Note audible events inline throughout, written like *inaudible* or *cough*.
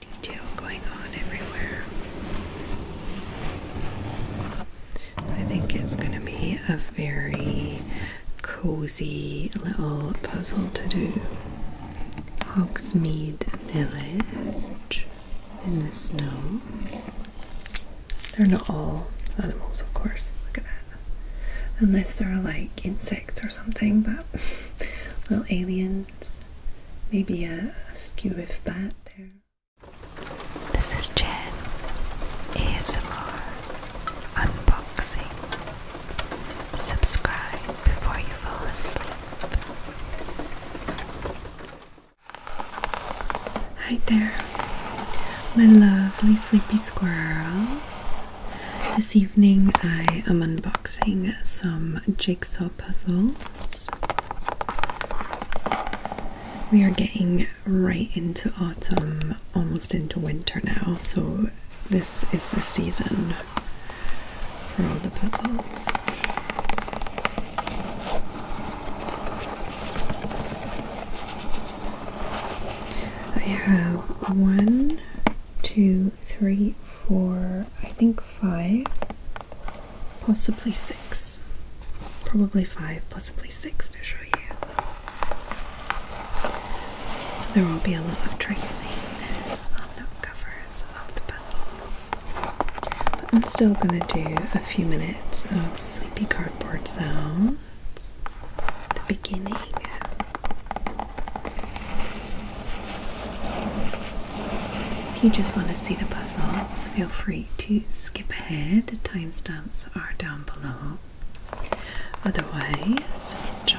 detail going on everywhere. I think it's going to be a very cozy little puzzle to do. Hogsmeade Village in the snow. They're not all animals, of course. Look at that. Unless they're like insects or something, but *laughs* little alien Maybe a, skewer skew if bat there. This is Jen. ASMR. Unboxing. Subscribe before you fall asleep. Hi there, my lovely sleepy squirrels. This evening I am unboxing some jigsaw puzzles. We are getting right into autumn, almost into winter now, so this is the season for all the puzzles. I have one, two, Three, four, I think five, possibly six. Probably five, possibly six to show you. So there will be a lot of tracing on the covers of the puzzles. I'm still going to do a few minutes of sleepy cardboard sounds at the beginning. If you just want to see the puzzles, feel free to skip ahead. Timestamps are down below. Otherwise, enjoy.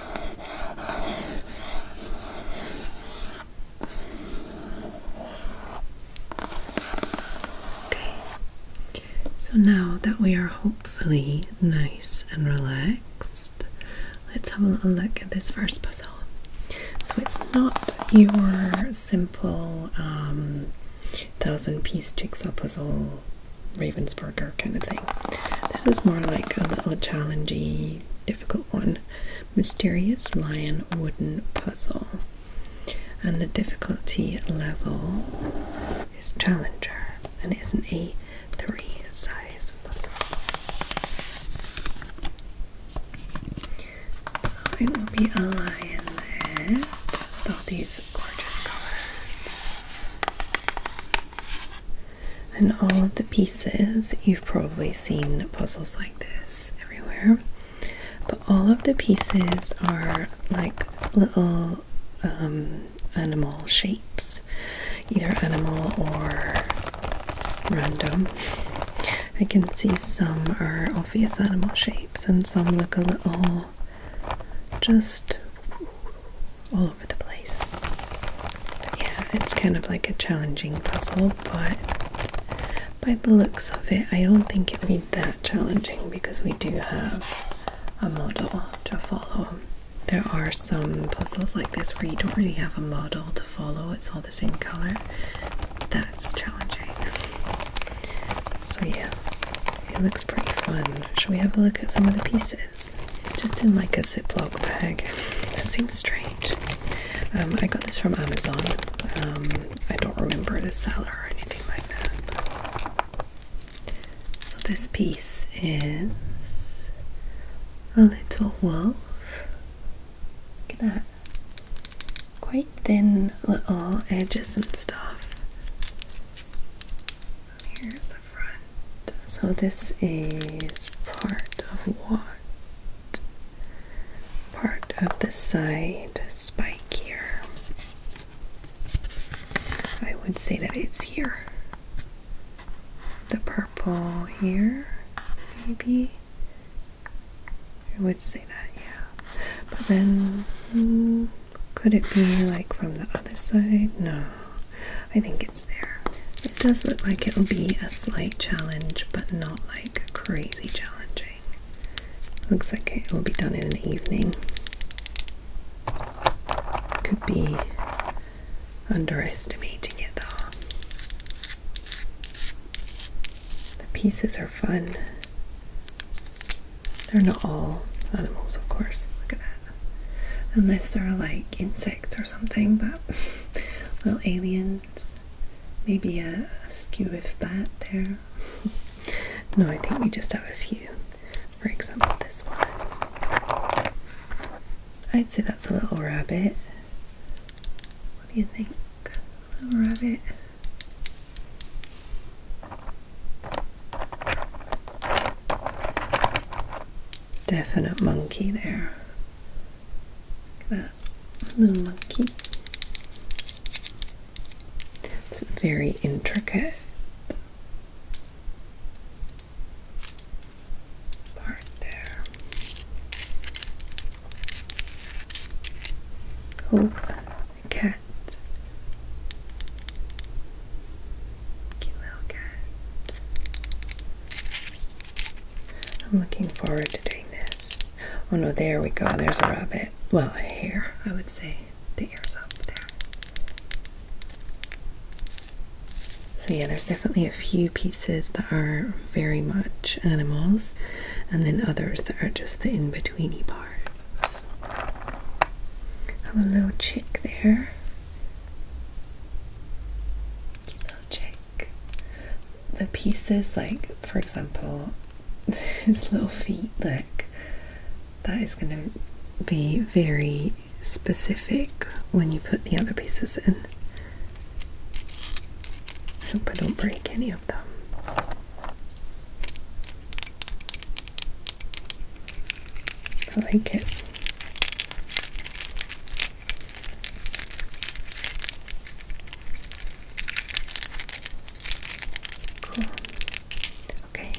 Okay, so now that we are hopefully nice and relaxed, let's have a little look at this first puzzle. So it's not your simple um, thousand piece jigsaw puzzle, Ravens. Ravensburger kind of thing. This is more like a little challenging, difficult one. Mysterious Lion Wooden Puzzle. And the difficulty level is Challenger and it is an A3 size puzzle. So it will be a lion there with all these gorgeous colors and all of the pieces you've probably seen puzzles like this everywhere but all of the pieces are like little um, animal shapes either animal or random I can see some are obvious animal shapes and some look a little just all over the place. yeah, it's kind of like a challenging puzzle, but by the looks of it, I don't think it'll be that challenging because we do have a model to follow. There are some puzzles like this where you don't really have a model to follow, it's all the same color. That's challenging. So, yeah, it looks pretty fun. Shall we have a look at some of the pieces? It's just in like a Ziploc bag. That seems strange. Um, I got this from Amazon. Um, I don't remember the seller or anything like that. So this piece is a little wolf. Look at that. Quite thin little edges and stuff. Here's the front. So this is part of what? Part of the side spike here. I would say that it's here. The purple here, maybe. I would say that, yeah. But then, hmm, could it be like from the other side? No. I think it's there. It does look like it'll be a slight challenge, but not like crazy challenging. Looks like it will be done in an evening. Could be underestimating it though. The pieces are fun. They're not all animals, of course. Look at that. Unless they're like insects or something, but *laughs* little aliens. Maybe a, skew skewiff bat there. *laughs* no, I think we just have a few. For example, this one. I'd say that's a little rabbit. What do you think? A little rabbit definite monkey there. Look at that little monkey. It's very intricate part there. Oh, cat. I'm looking forward to doing this. Oh no, there we go. There's a rabbit. Well, here I would say. The ear's up there. So, yeah, there's definitely a few pieces that are very much animals, and then others that are just the in betweeny parts. Have a little chick there check the pieces, like for example, *laughs* his little feet, like that is going to be very specific when you put the other pieces in. I hope I don't break any of them. I like it. Cool. Okay,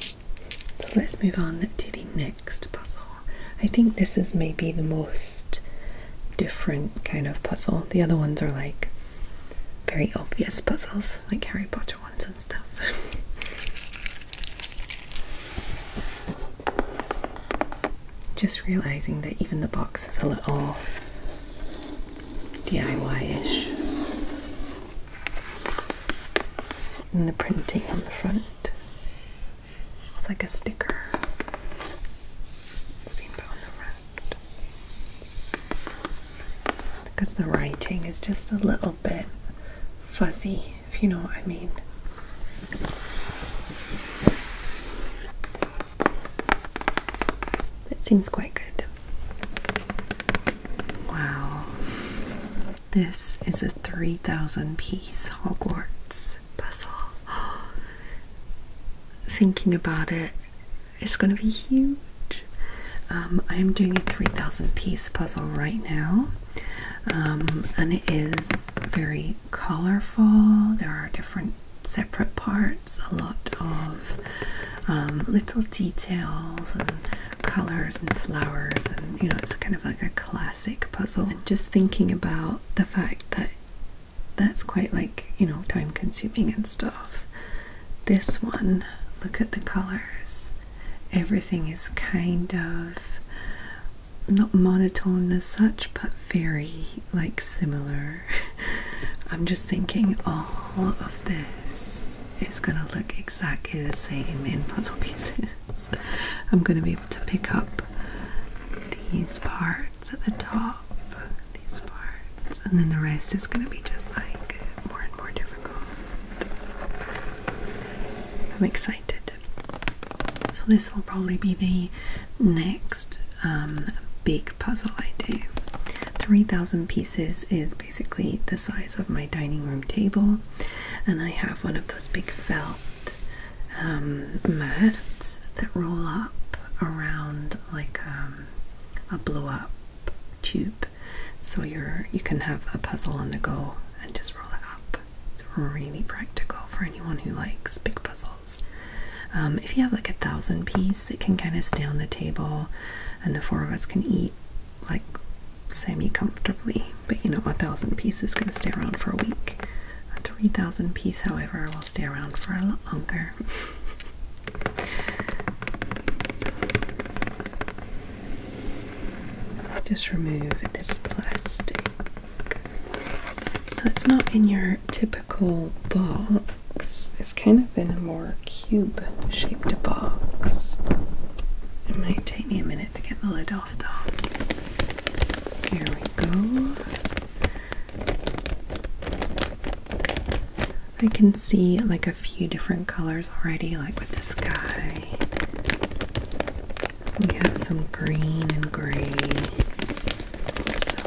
so let's move on to the next puzzle. I think this is maybe the most different kind of puzzle. The other ones are like very obvious puzzles, like Harry Potter ones and stuff. *laughs* Just realizing that even the box is a little DIY ish. And the printing on the front. It's like a sticker. Because the writing is just a little bit fuzzy if you know what I mean. It seems quite good. Wow. This is a 3,000 piece Hogwarts puzzle. *gasps* Thinking about it, it's going to be huge. Um, I am doing a 3,000 piece puzzle right now. Um, and it is very colorful. There are different separate parts, a lot of um, little details and colors and flowers, and you know, it's kind of like a classic puzzle. And just thinking about the fact that that's quite like you know, time consuming and stuff. This one, look at the colors, everything is kind of not monotone as such, but very like similar. *laughs* I'm just thinking all of this is gonna look exactly the same in puzzle pieces. *laughs* I'm gonna be able to pick up these parts at the top, these parts, and then the rest is gonna be just like more and more difficult. I'm excited. So this will probably be the next um, big puzzle I do. 3,000 pieces is basically the size of my dining room table, and I have one of those big felt um, mats that roll up around like um, a blow up tube, so you can have a puzzle on the go and just roll it up. It's really practical for anyone who likes big puzzles. Um, if you have like a thousand piece, it can kind of stay on the table, and the four of us can eat like semi comfortably. But you know, a thousand piece is going to stay around for a week. A 3,000 piece, however, will stay around for a lot longer. *laughs* Just remove this plastic. So it's not in your typical box, it's kind of in a more cube shaped box. It might take me a minute to get the lid off though. Here we go. I can see like a few different colors already, like with the sky we have some green and gray, so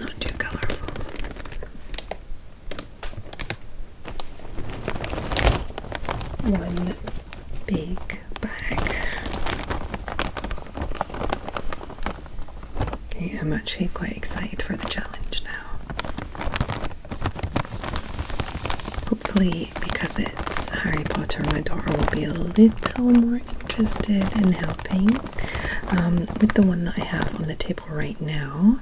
not too colorful. One big bag. Okay, I'm actually quite excited for the challenge now. Hopefully, because it's Harry Potter, my daughter will be a little more interested in helping. Um, with the one that I have on the table right now,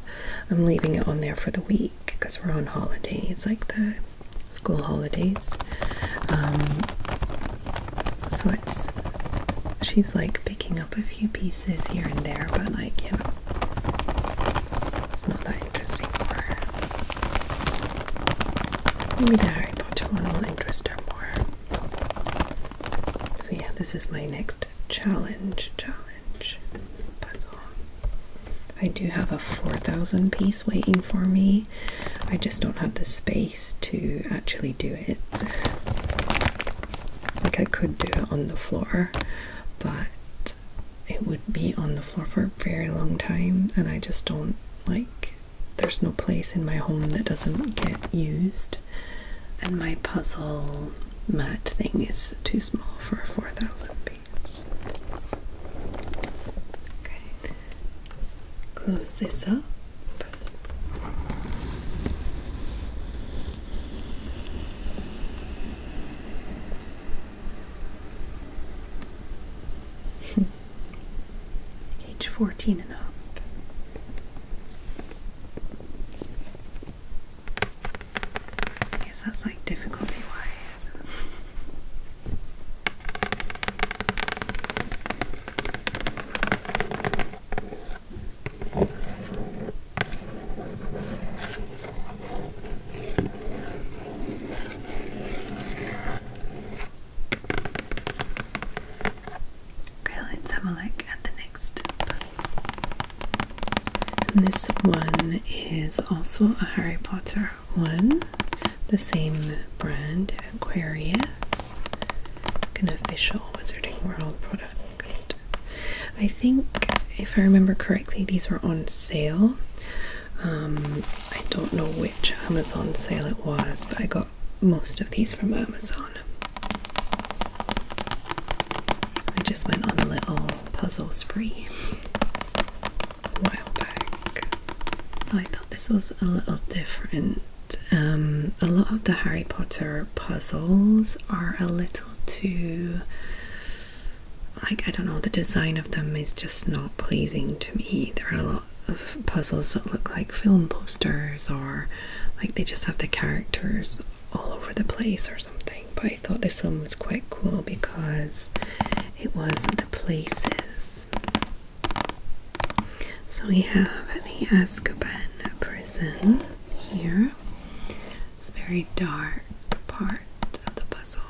I'm leaving it on there for the week because we're on holidays, like the school holidays. Um, so it's she's like picking up a few pieces here and there, but like you know, it's not that interesting for her. Maybe the Harry Potter one will interest her more. So yeah, this is my next challenge challenge puzzle. I do have a 4,000 piece waiting for me. I just don't have the space to actually do it. Like I could do it on the floor, but it would be on the floor for a very long time and I just don't like there's no place in my home that doesn't get used and my puzzle mat thing is too small for 4,000 beads. Okay, close this up. *laughs* Age 14 and up. I guess that's like difficulty wise. Okay, let at the next this one is also a Harry Potter one, the same brand, Aquarius, an official Wizarding World product. I think, if I remember correctly, these were on sale. Um, I don't know which Amazon sale it was, but I got most of these from Amazon. I just went on a little puzzle spree a while back. So I thought this was a little different. Um, a lot of the Harry Potter puzzles are a little too like I don't know, the design of them is just not pleasing to me. There are a lot of puzzles that look like film posters or like they just have the characters all over the place or something. But I thought this one was quite cool because it was the places. So we have the Azkaban prison here. It's a very dark part the puzzle.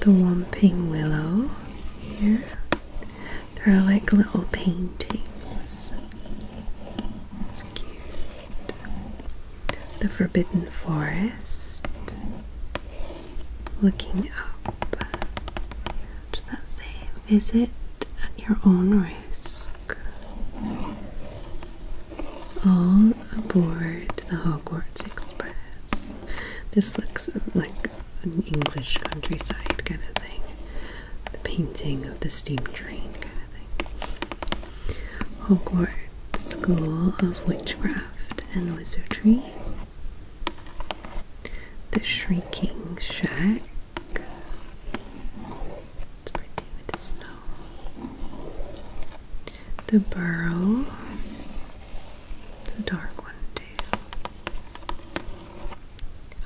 The Wamping Willow here. there are like little paintings. It's cute. The Forbidden Forest. Looking up. does that say? Visit at your own risk all aboard the Hogwarts Express. This looks like an English countryside kind of thing. The painting of the steam train kind of thing. Hogwarts School of Witchcraft and Wizardry. The Shrieking Shack. It's pretty with the snow. The burrow. The dark one too.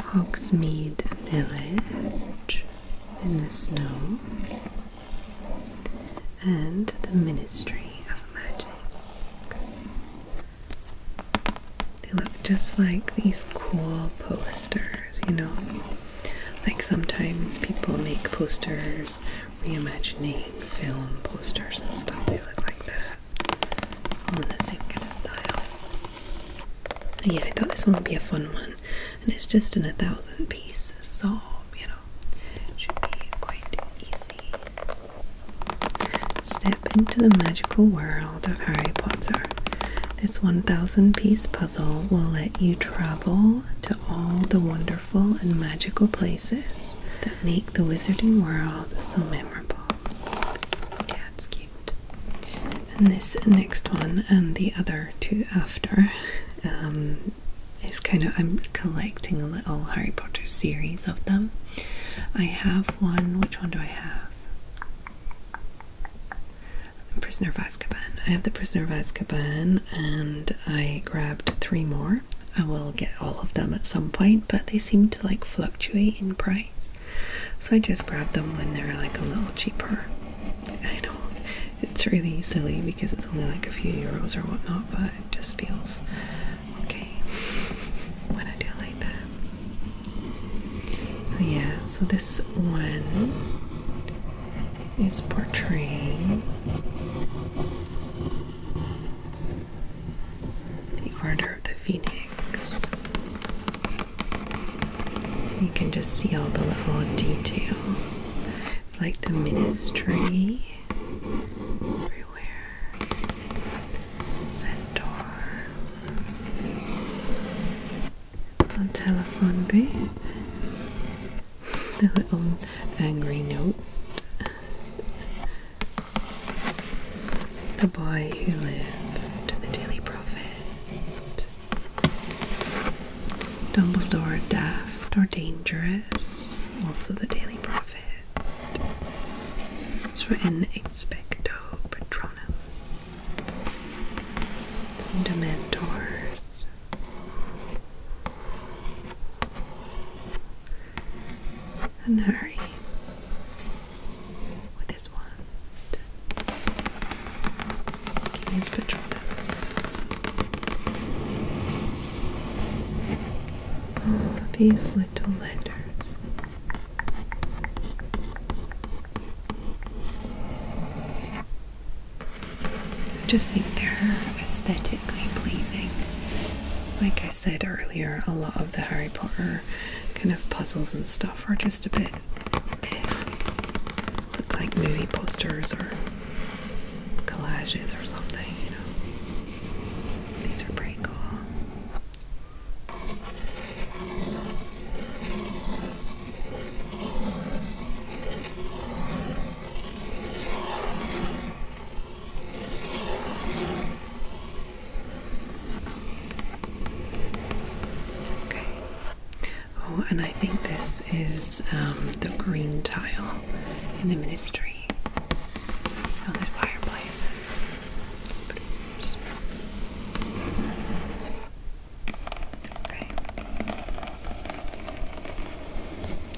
Hogsmeade Village in the snow. And the Ministry of Magic. They look just like these cool posters, you know. Like sometimes people make posters, reimagining film posters and stuff, they look like that. All the same kind of style. yeah, I thought this one would be a fun one. And it's just in a thousand piece solve, you know. should be quite easy. Step into the magical world of Harry Potter. This 1000 piece puzzle will let you travel to all the wonderful and magical places that make the wizarding world so memorable. Yeah, it's cute. And this next one and the other two after um, is kind of, I'm collecting a little Harry Potter series of them. I have one, which one do I have? Prisoner of I have the Prisoner of and I grabbed three more. I will get all of them at some point, but they seem to like fluctuate in price. So I just grabbed them when they're like a little cheaper. I know it's really silly because it's only like a few euros or whatnot, but it just feels okay when I do like that. So yeah, so this one is portraying the Order of the Phoenix. You can just see all the little details, like the ministry everywhere, centaur on telephone B. The little angry note. The boy who lived, the Daily Prophet. Dumbledore daft or dangerous, also the Daily Prophet. So in expecto patronum. Dementors. And hurry with his wand. Give his these little lanterns. I just think they're aesthetically pleasing. Like I said earlier, a lot of the Harry Potter kind of puzzles and stuff are just a bit look like movie posters or collages or something, you know. These are pretty cool. Okay. Oh, and I think this is um, the green tile in the ministry. Oh, the fireplaces.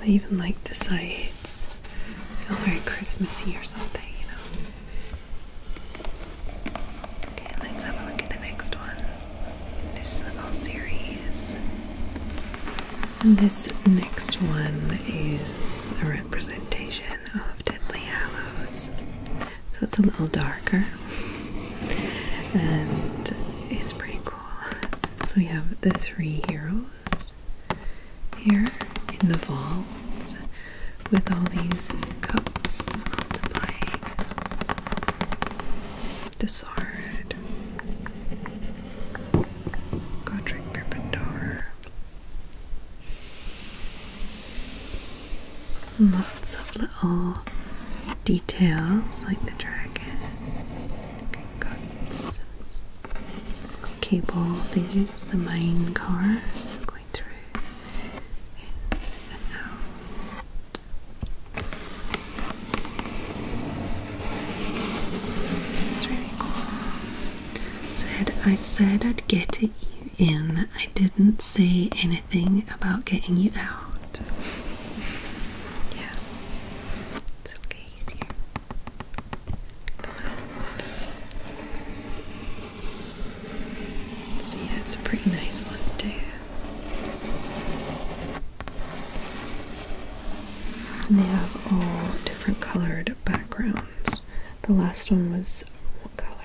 I even like the sides. Feels very Christmassy or something, you know. Okay, let's have a look at the next one. This little series. And this next one is a representation of Deadly Hallows so it's a little darker and it's pretty cool. So we have the three heroes here in the vault with all these cups multiplying the sword, Godric Gryffindor lots of little details like the dragon, guts, cable the mine cars going through in and out. It's really cool. Said I said I'd get it you in. I didn't say anything anything about getting you out. Yeah. It's okay, it's a pretty nice one too. they have all different colored backgrounds. The last one was what color?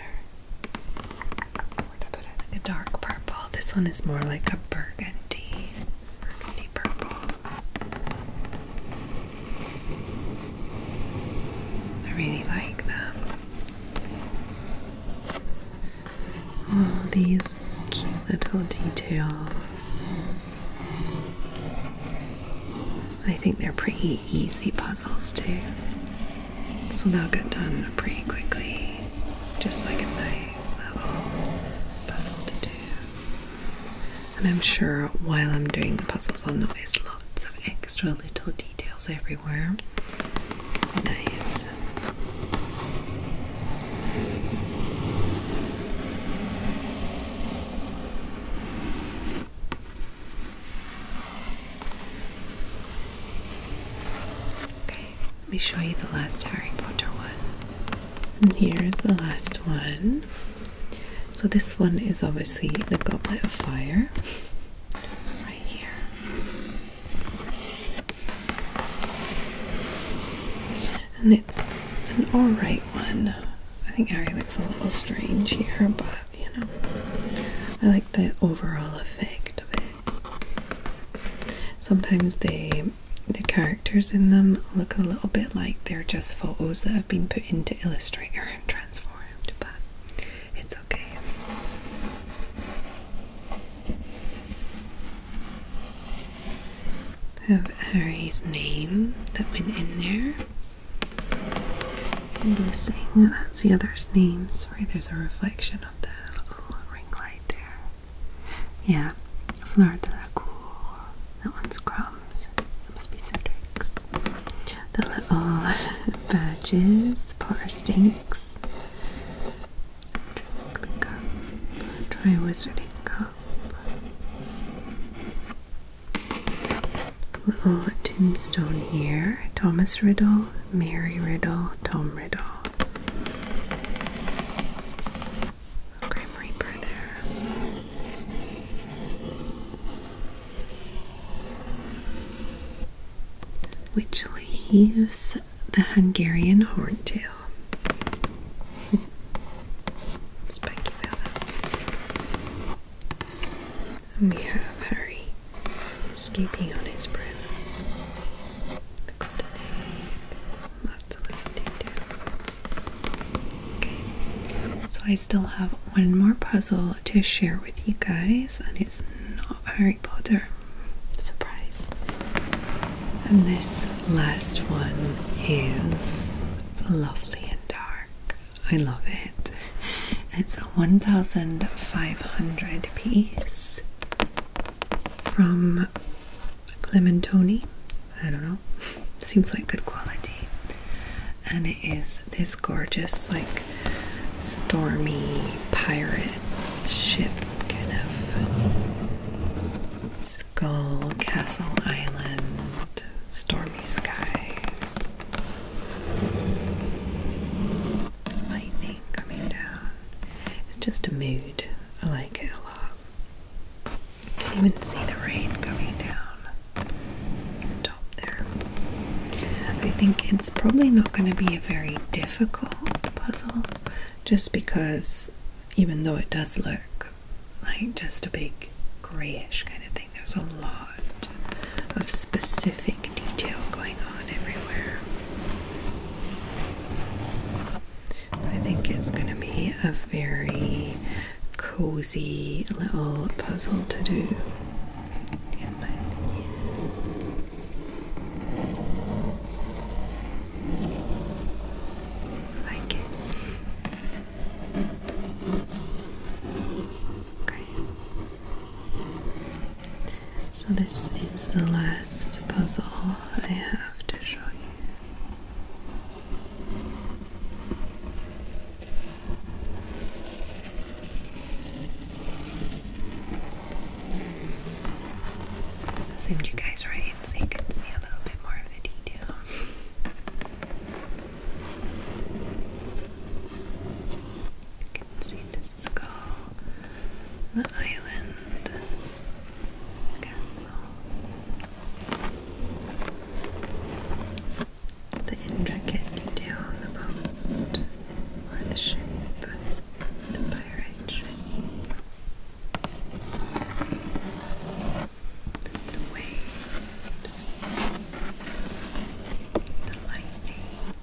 We're gonna put like a dark purple. This one is more like a burgundy, burgundy purple. I really like them. All these cute little details. I think they're pretty easy puzzles too. So that will get done pretty quickly. Just like a nice little puzzle to do. And I'm sure while I'm doing the puzzles, I'll notice lots of extra little details everywhere. Nice. Okay, let me show you the last Harry Potter one. And here's the last one. So this one is obviously the Goblet of Fire. Right here. And it's an alright one. I think Harry looks a little strange here, but you know, I like the overall effect of it. Sometimes they the characters in them look a little bit like they're just photos that have been put into Illustrator and transformed, but it's okay. Have Harry's name that went in there. I'm guessing that's the other's name. Sorry, there's a reflection the little ring light there. Yeah, Fleur de la That one's crumbs. So must be Cedric's. The little *laughs* badges, Potter Stinks. Drink the Wizarding Cup. Little tombstone here. Thomas Riddle, Mary Riddle, Tom rid Grim Reaper there. Which leaves the Hungarian Horntail. Spiky Bella. we have Harry escaping on his brow. Lots of little details. Okay, so I still have one more puzzle to share with you guys, and it's not very Potter. Surprise. And this last one is lovely and dark. I love it. It's 1500 piece from Clementoni. I don't know. *laughs* Seems like good quality. And it is this gorgeous, like, stormy pirate ship kind of skull, castle, island, stormy skies lightning coming down. It's just a mood. I like it a lot. You can even see the rain coming down top there. I think it's probably not going to be a very difficult puzzle just because even though it does look like just a big grayish kind of thing, there's a lot of specific detail going on everywhere. I think it's going to be a very cozy little puzzle to do, Like it. Okay. So, this is the last puzzle I have to show you. zoomed you guys right in so you can see a little bit more of the detail can see the skull, the island, castle, the intricate detail on the boat or the ship, the pirate The waves, the lightning,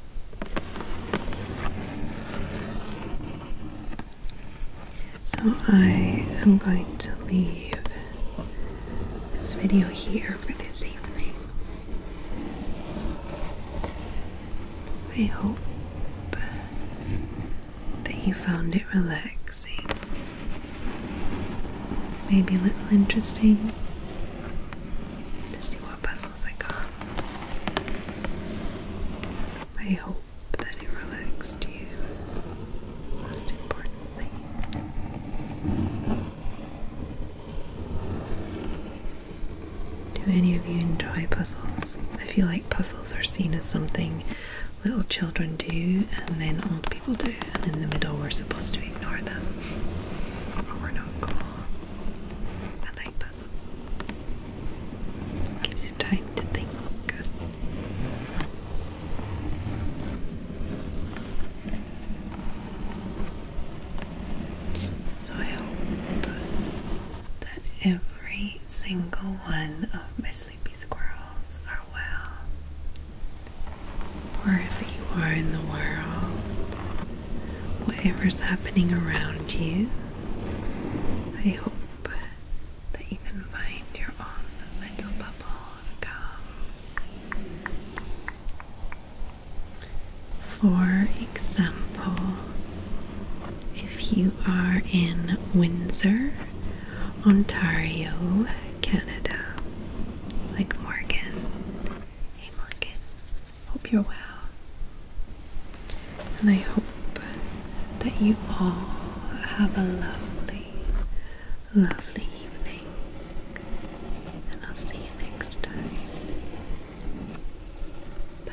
so I am going to leave this video here for this evening. I hope that you found it relaxing. Maybe a little interesting to see what puzzles muscles are gone. I hope that it relaxed you, most importantly. Do any of you enjoy puzzles? I feel like puzzles are seen as something little children do and then old people do, and in the middle we're supposed to ignore them. Or we're not I like puzzles. Gives you time to think. So I hope that every single one of my sleepy squirrels are well. Wherever you are in the world, whatever's happening around you. I hope that you can find your own little bubble of calm. For example, if you are in Windsor, Ontario, Canada, like Morgan, hey Morgan, Hope you're well. And I hope that you all have a lovely, lovely evening. And I'll see you next time. Bye.